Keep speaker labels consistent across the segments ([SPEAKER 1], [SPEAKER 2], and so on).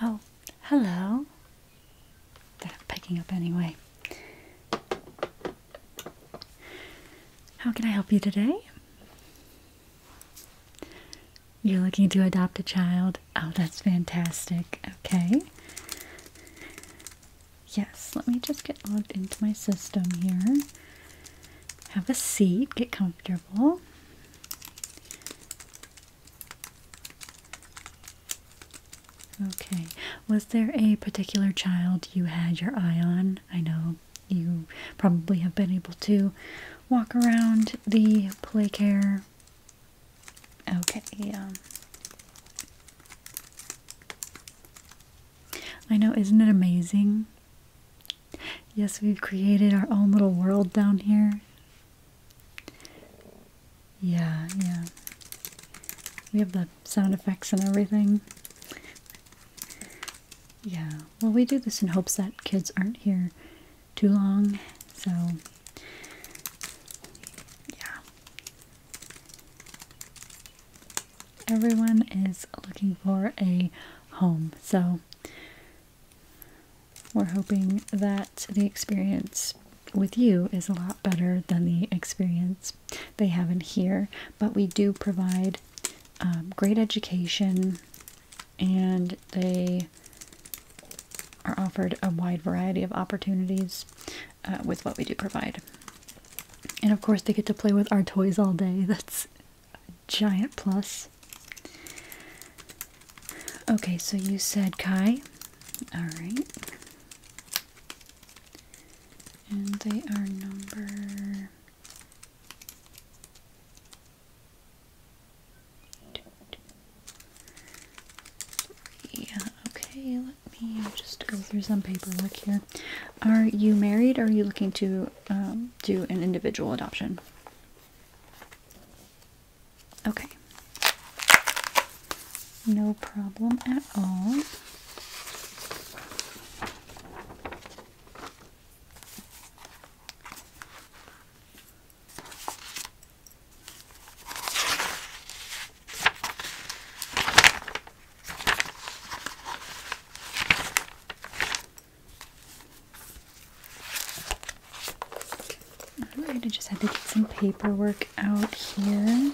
[SPEAKER 1] Oh, hello. They're picking up anyway. How can I help you today? You're looking to adopt a child? Oh, that's fantastic. Okay. Yes, let me just get logged into my system here. Have a seat, get comfortable. Okay, was there a particular child you had your eye on? I know you probably have been able to walk around the play care. Okay, um, I know, isn't it amazing? Yes, we've created our own little world down here. Yeah, yeah. We have the sound effects and everything. Yeah, well, we do this in hopes that kids aren't here too long, so yeah. Everyone is looking for a home, so we're hoping that the experience with you is a lot better than the experience they have in here, but we do provide um, great education and they are offered a wide variety of opportunities uh, with what we do provide. And of course, they get to play with our toys all day. That's a giant plus. Okay, so you said Kai. Alright. And they are number yeah, okay, let me just go through some paperwork here. Are you married are you looking to um, do an individual adoption? Okay. No problem at all i just had to get some paperwork out here.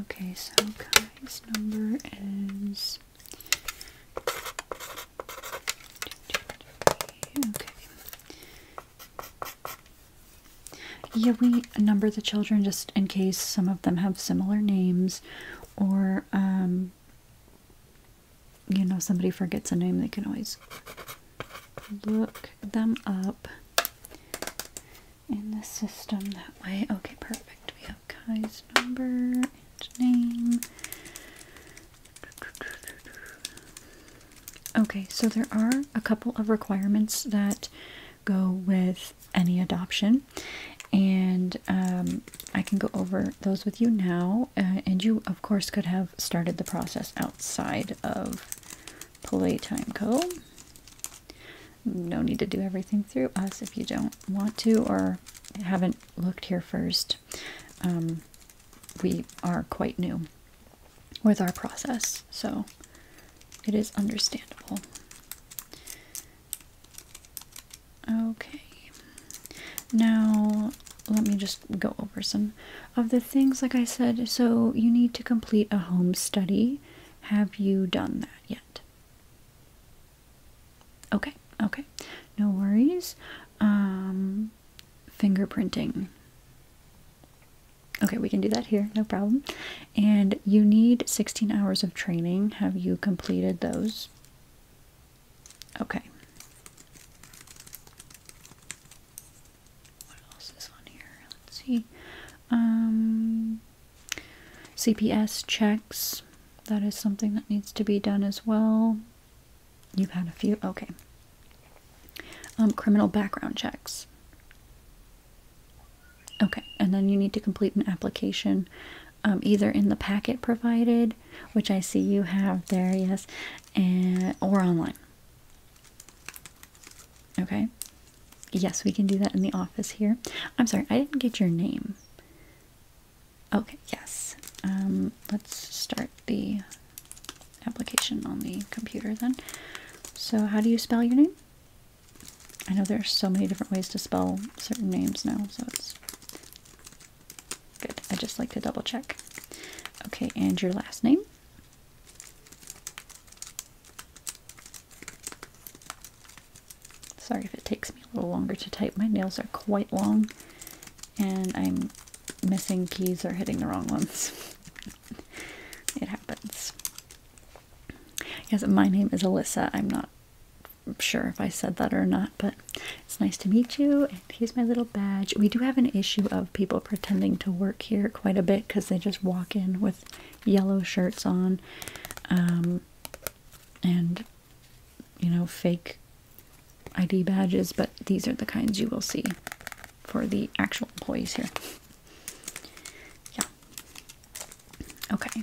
[SPEAKER 1] Okay, so Kai's number is Yeah, we number the children just in case some of them have similar names or um, you know, somebody forgets a name, they can always look them up in the system that way. Okay, perfect. We have Kai's number and name. Okay, so there are a couple of requirements that go with any adoption, and um, I can go over those with you now. Uh, and you, of course, could have started the process outside of Playtime Co. No need to do everything through us if you don't want to or haven't looked here first. Um, we are quite new with our process, so it is understandable. Okay. Now, let me just go over some of the things, like I said. So, you need to complete a home study. Have you done that yet? Okay, okay. No worries. Um, fingerprinting. Okay, we can do that here, no problem. And you need 16 hours of training. Have you completed those? Okay. What else is on here? Let's see. Um, CPS checks. That is something that needs to be done as well. You've had a few. Okay. Um, criminal background checks. Okay, and then you need to complete an application um, either in the packet provided, which I see you have there, yes, and or online. Okay. Yes, we can do that in the office here. I'm sorry, I didn't get your name. Okay, yes. Um, let's start the application on the computer then. So how do you spell your name? I know there's so many different ways to spell certain names now, so it's Good. I just like to double check. Okay, and your last name? Sorry if it takes me a little longer to type. My nails are quite long and I'm missing keys or hitting the wrong ones. it happens. Yes, my name is Alyssa. I'm not sure if I said that or not, but it's nice to meet you. And here's my little badge. We do have an issue of people pretending to work here quite a bit because they just walk in with yellow shirts on um, and, you know, fake ID badges, but these are the kinds you will see for the actual employees here. Yeah. Okay.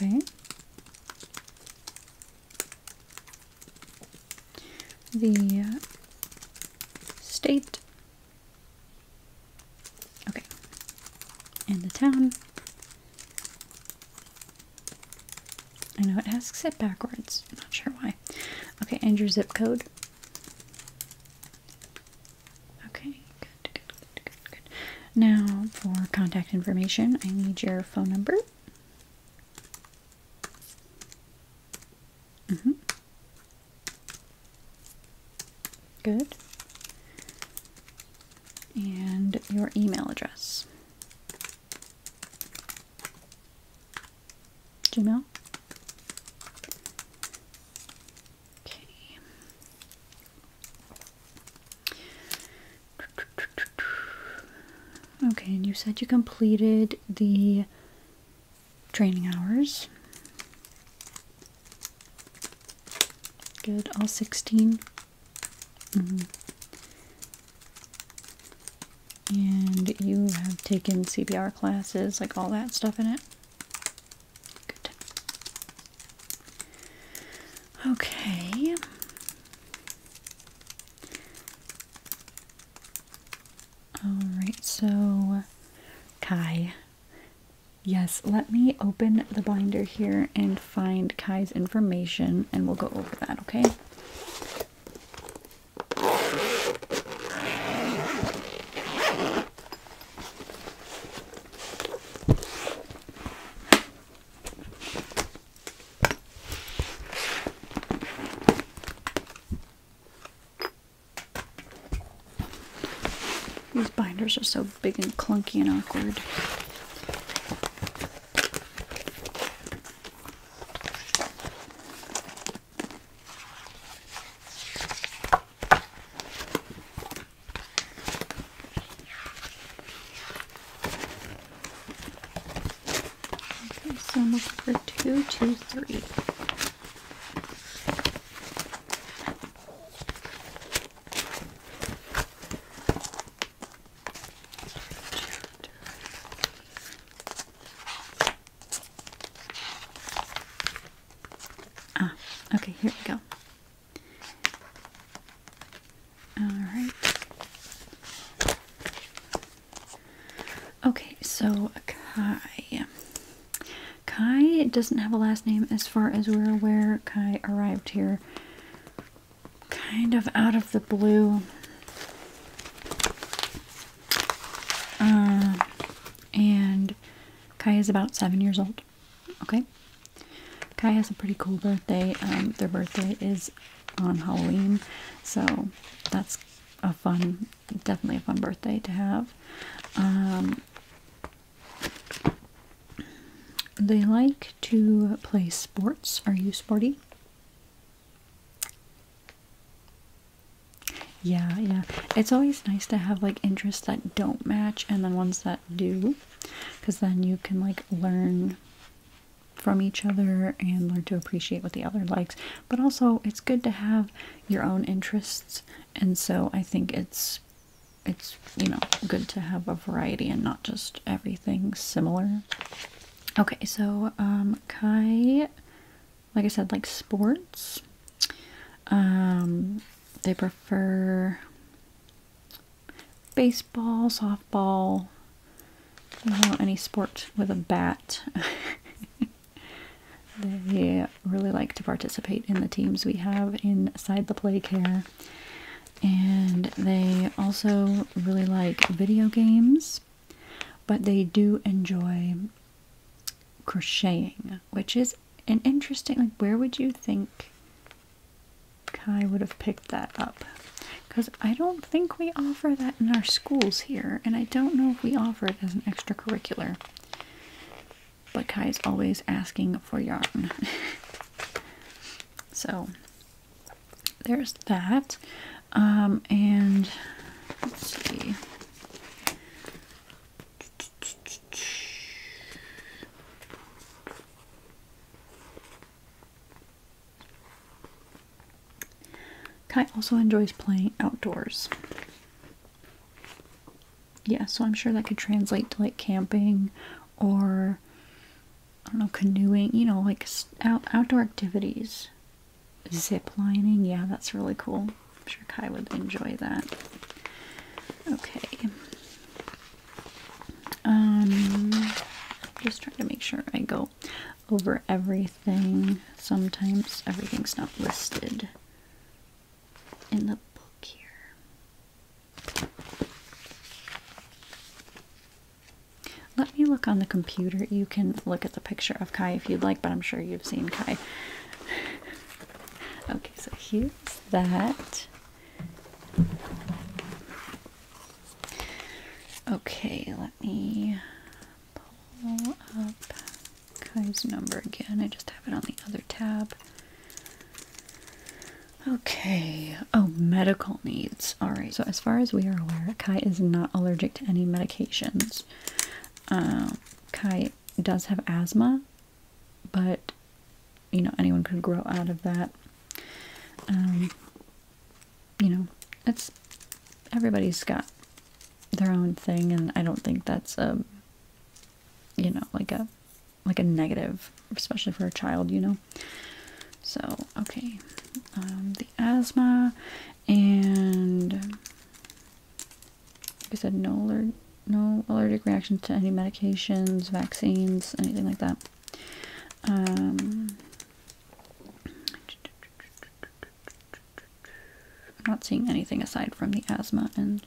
[SPEAKER 1] Okay. The uh, state. Okay. And the town. I know it asks it backwards. not sure why. Okay, and your zip code. Okay, good, good, good, good, Now for contact information, I need your phone number. Mm hmm Good. And your email address. Gmail. Okay. Okay, and you said you completed the training hours. Good, all 16. Mm-hmm. And you have taken CPR classes, like all that stuff in it. Okay. Alright, so Kai. Yes, let me open the binder here and find Kai's information and we'll go over that, okay? These binders are so big and clunky and awkward. Okay, so I'm looking for two, two, three. Ah, okay, here we go. Alright. Okay, so Kai. Kai doesn't have a last name as far as we're aware. Kai arrived here kind of out of the blue. Uh, and Kai is about seven years old. Okay. Kai has a pretty cool birthday. Um, their birthday is on Halloween, so that's a fun, definitely a fun birthday to have. Um, they like to play sports. Are you sporty? Yeah, yeah. It's always nice to have like interests that don't match and then ones that do because then you can like learn from each other and learn to appreciate what the other likes. But also, it's good to have your own interests, and so I think it's it's you know good to have a variety and not just everything similar. Okay, so um, Kai like I said, like sports. Um, they prefer baseball, softball, any sport with a bat. they really like to participate in the teams we have inside the play care. And they also really like video games. But they do enjoy crocheting, which is an interesting, like, where would you think Kai would have picked that up? Because I don't think we offer that in our schools here, and I don't know if we offer it as an extracurricular. But Kai is always asking for yarn. so there's that. Um, and Let's see. Kai also enjoys playing outdoors. Yeah, so I'm sure that could translate to like camping or I don't know, canoeing, you know, like out, outdoor activities zip lining. Yeah, that's really cool. I'm sure Kai would enjoy that. Okay. Um, just trying to make sure I go over everything. Sometimes everything's not listed in the book here. Let me look on the computer. You can look at the picture of Kai if you'd like, but I'm sure you've seen Kai. okay, so here's that. Okay, let me pull up Kai's number again. I just have it on the other tab. Okay. Oh, medical needs. All right. So, as far as we are aware, Kai is not allergic to any medications. Um, Kai does have asthma, but you know, anyone could grow out of that. Um, you know, it's everybody's got their own thing, and I don't think that's a um, you know, like a like a negative, especially for a child, you know. So, okay, the asthma and like I said, no allergic, no allergic reactions to any medications, vaccines, anything like that. Um, I'm not seeing anything aside from the asthma and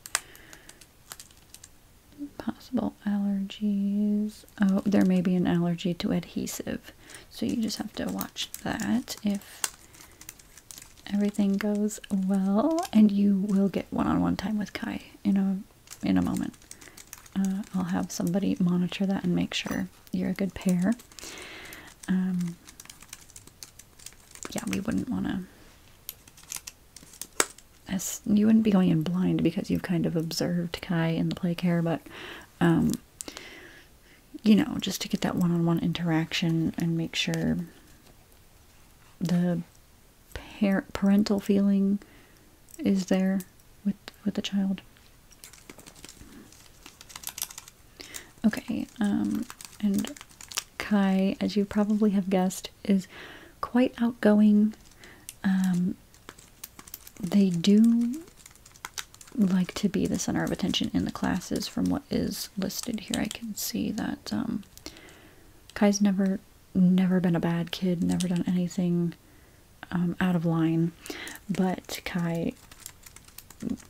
[SPEAKER 1] possible allergies. Oh, there may be an allergy to adhesive, so you just have to watch that if everything goes well, and you will get one-on-one time with Kai in a in a moment. Uh, I'll have somebody monitor that and make sure you're a good pair. Um, yeah, we wouldn't want to. you wouldn't be going in blind because you've kind of observed Kai in the play care, but um, you know, just to get that one on one interaction and make sure the parental feeling is there with with the child. Okay, um, and Kai, as you probably have guessed, is quite outgoing. Um, they do like to be the center of attention in the classes from what is listed here. I can see that um, Kai's never never been a bad kid, never done anything um, out of line, but Kai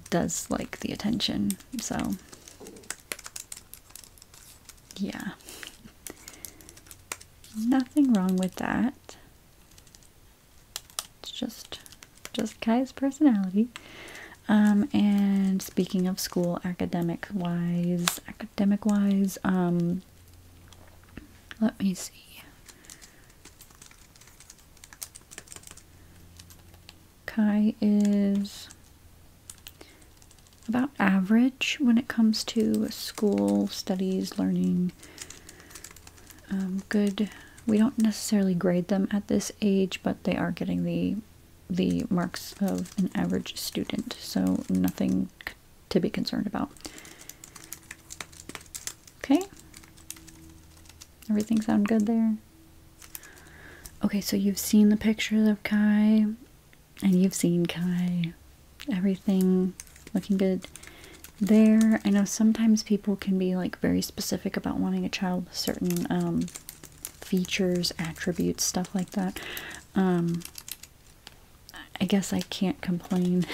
[SPEAKER 1] does like the attention, so yeah. Nothing wrong with that. It's just just Kai's personality. Um, and speaking of school, academic wise, academic wise, um, let me see. Kai is about average when it comes to school, studies, learning, um, good. We don't necessarily grade them at this age, but they are getting the the marks of an average student, so nothing to be concerned about. Okay. Everything sound good there? Okay, so you've seen the pictures of Kai, and you've seen Kai. Everything looking good there. I know sometimes people can be like very specific about wanting a child certain um, features, attributes, stuff like that. Um, I guess I can't complain.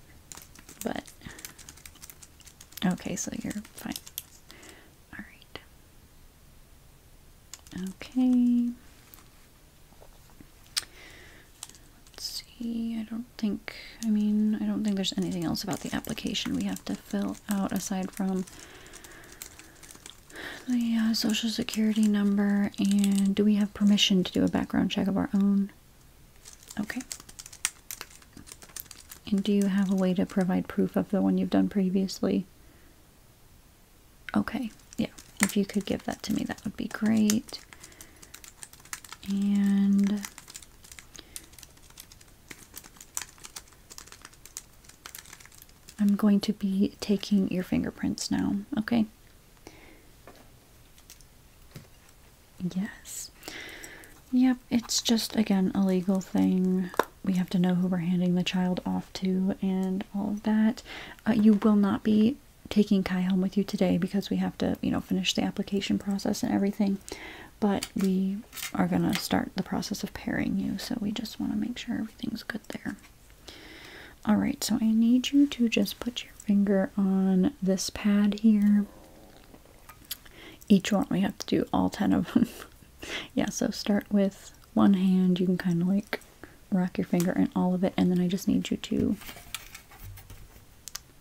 [SPEAKER 1] but okay, so you're fine. All right. Okay. Let's see. I don't think, I mean, I don't think there's anything else about the application we have to fill out aside from the uh, social security number and do we have permission to do a background check of our own? Okay. And do you have a way to provide proof of the one you've done previously? Okay, yeah. If you could give that to me, that would be great. And I'm going to be taking your fingerprints now, okay? Yes. Yep, it's just, again, a legal thing. We have to know who we're handing the child off to and all of that. Uh, you will not be taking Kai home with you today because we have to, you know, finish the application process and everything. But we are going to start the process of pairing you. So we just want to make sure everything's good there. Alright, so I need you to just put your finger on this pad here. Each one, we have to do all 10 of them. yeah, so start with one hand. You can kind of like rock your finger in all of it, and then I just need you to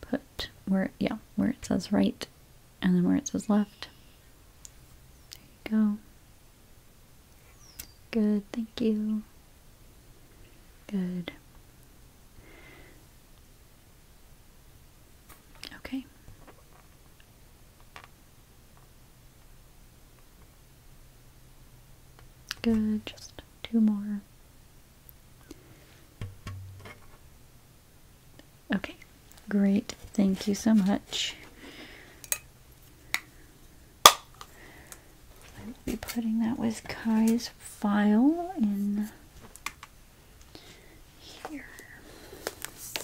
[SPEAKER 1] put where, yeah, where it says right, and then where it says left. There you go. Good, thank you. Good. Okay. Good, just two more. Okay, great. Thank you so much. I'll be putting that with Kai's file in here.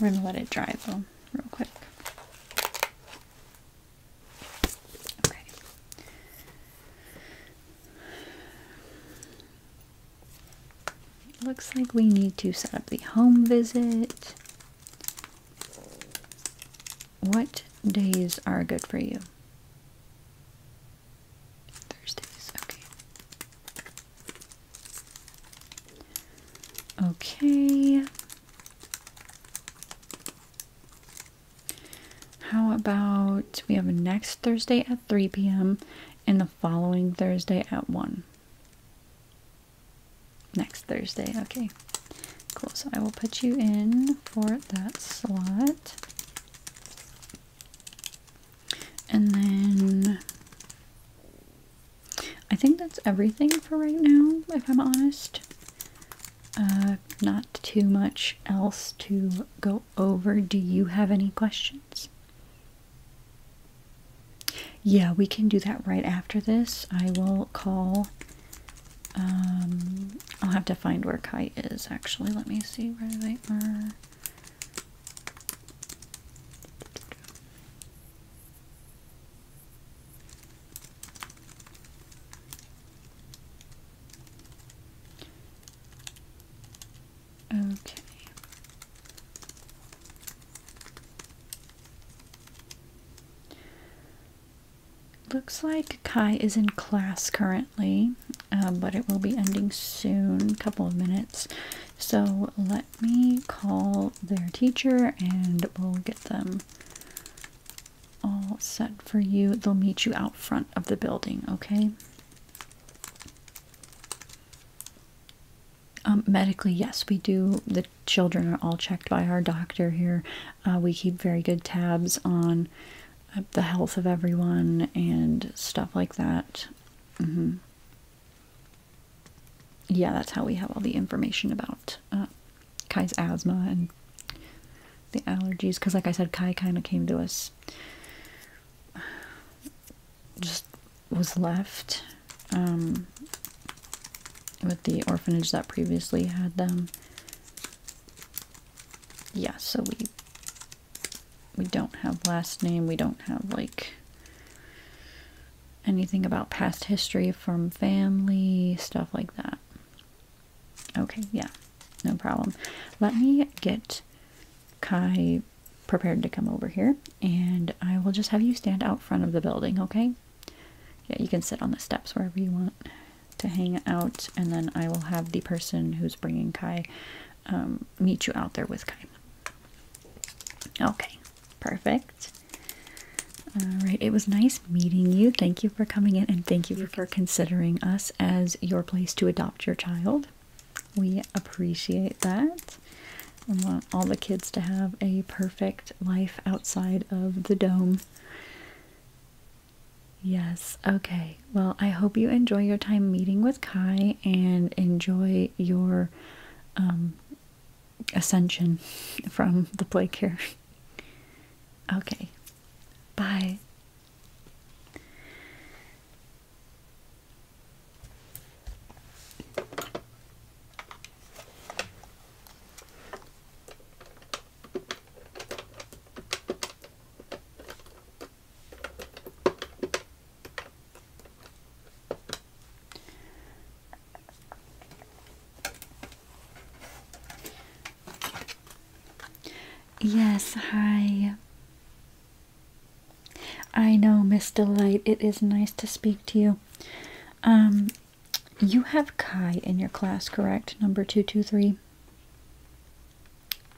[SPEAKER 1] We're going to let it dry though, real quick. Okay. Looks like we need to set up the home visit. What days are good for you? Thursdays, okay. Okay. How about we have next Thursday at 3 p.m. in the following Thursday at 1. Next Thursday, okay. Cool, so I will put you in for that slot. And then I think that's everything for right now, if I'm honest. Uh, not too much else to go over. Do you have any questions? Yeah, we can do that right after this. I will call. Um, I'll have to find where Kai is actually. Let me see where they are. Okay. Looks like Kai is in class currently, uh, but it will be ending soon, a couple of minutes. So let me call their teacher and we'll get them all set for you. They'll meet you out front of the building, okay? Um, medically, yes, we do. The children are all checked by our doctor here. Uh, we keep very good tabs on uh, the health of everyone and stuff like that. Mm-hmm. Yeah, that's how we have all the information about uh, Kai's asthma and the allergies. Because, like I said, Kai kind of came to us just was left um, with the orphanage that previously had them. Yeah, so we we don't have last name. We don't have like anything about past history from family, stuff like that. Okay, yeah, no problem. Let me get Kai prepared to come over here and I will just have you stand out front of the building, okay? Yeah, you can sit on the steps wherever you want to hang out, and then I will have the person who's bringing Kai um, meet you out there with Kai. Okay, perfect. All right, it was nice meeting you. Thank you for coming in, and thank you for considering us as your place to adopt your child. We appreciate that. We want all the kids to have a perfect life outside of the dome. Yes, okay. Well, I hope you enjoy your time meeting with Kai and enjoy your um, ascension from the play here. okay, bye. Yes, hi. I know, Miss Delight. It is nice to speak to you. Um, you have Kai in your class, correct? Number 223.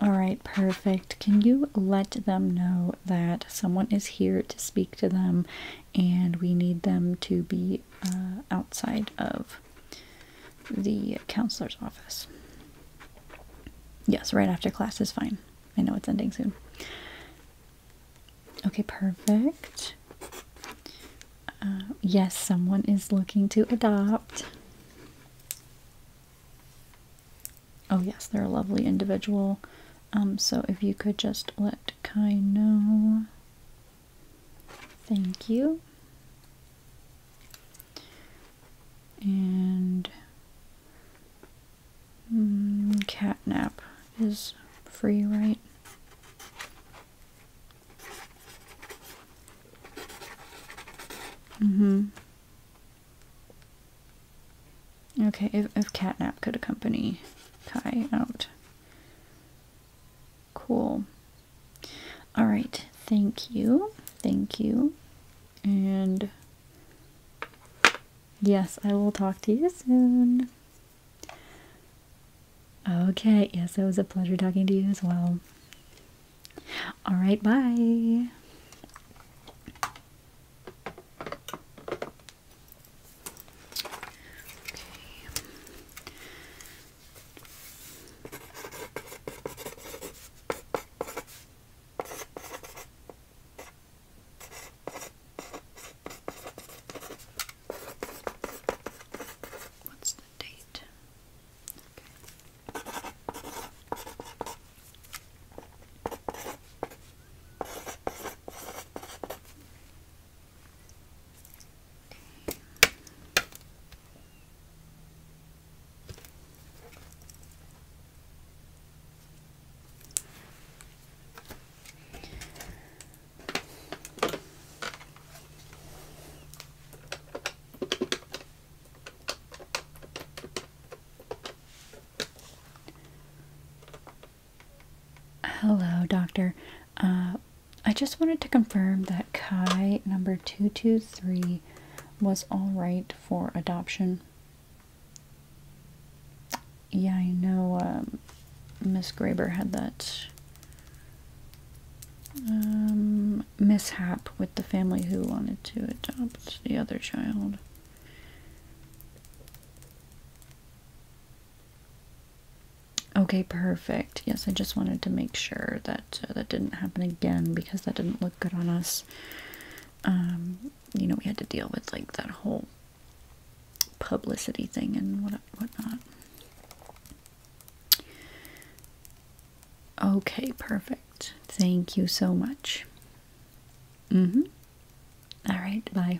[SPEAKER 1] Alright, perfect. Can you let them know that someone is here to speak to them and we need them to be uh, outside of the counselor's office? Yes, right after class is fine. I know it's ending soon. Okay, perfect. Uh, yes, someone is looking to adopt. Oh, yes, they're a lovely individual. Um, so if you could just let Kai know. Thank you. And Hmm, catnap is free, right? Mm-hmm. Okay, if, if catnap could accompany Kai out. Cool. Alright, thank you. Thank you. And Yes, I will talk to you soon. Okay, yes, it was a pleasure talking to you as well. All right, bye. What's the date? Hello, doctor. Uh, I just wanted to confirm that Kai number 223 was all right for adoption. Yeah, I know um, Miss Graber had that um, mishap with the family who wanted to adopt the other child. Okay, perfect. Yes, I just wanted to make sure that uh, that didn't happen again because that didn't look good on us. Um, you know, we had to deal with like that whole publicity thing and what whatnot. Okay, perfect. Thank you so much. Mm-hmm. All right, bye.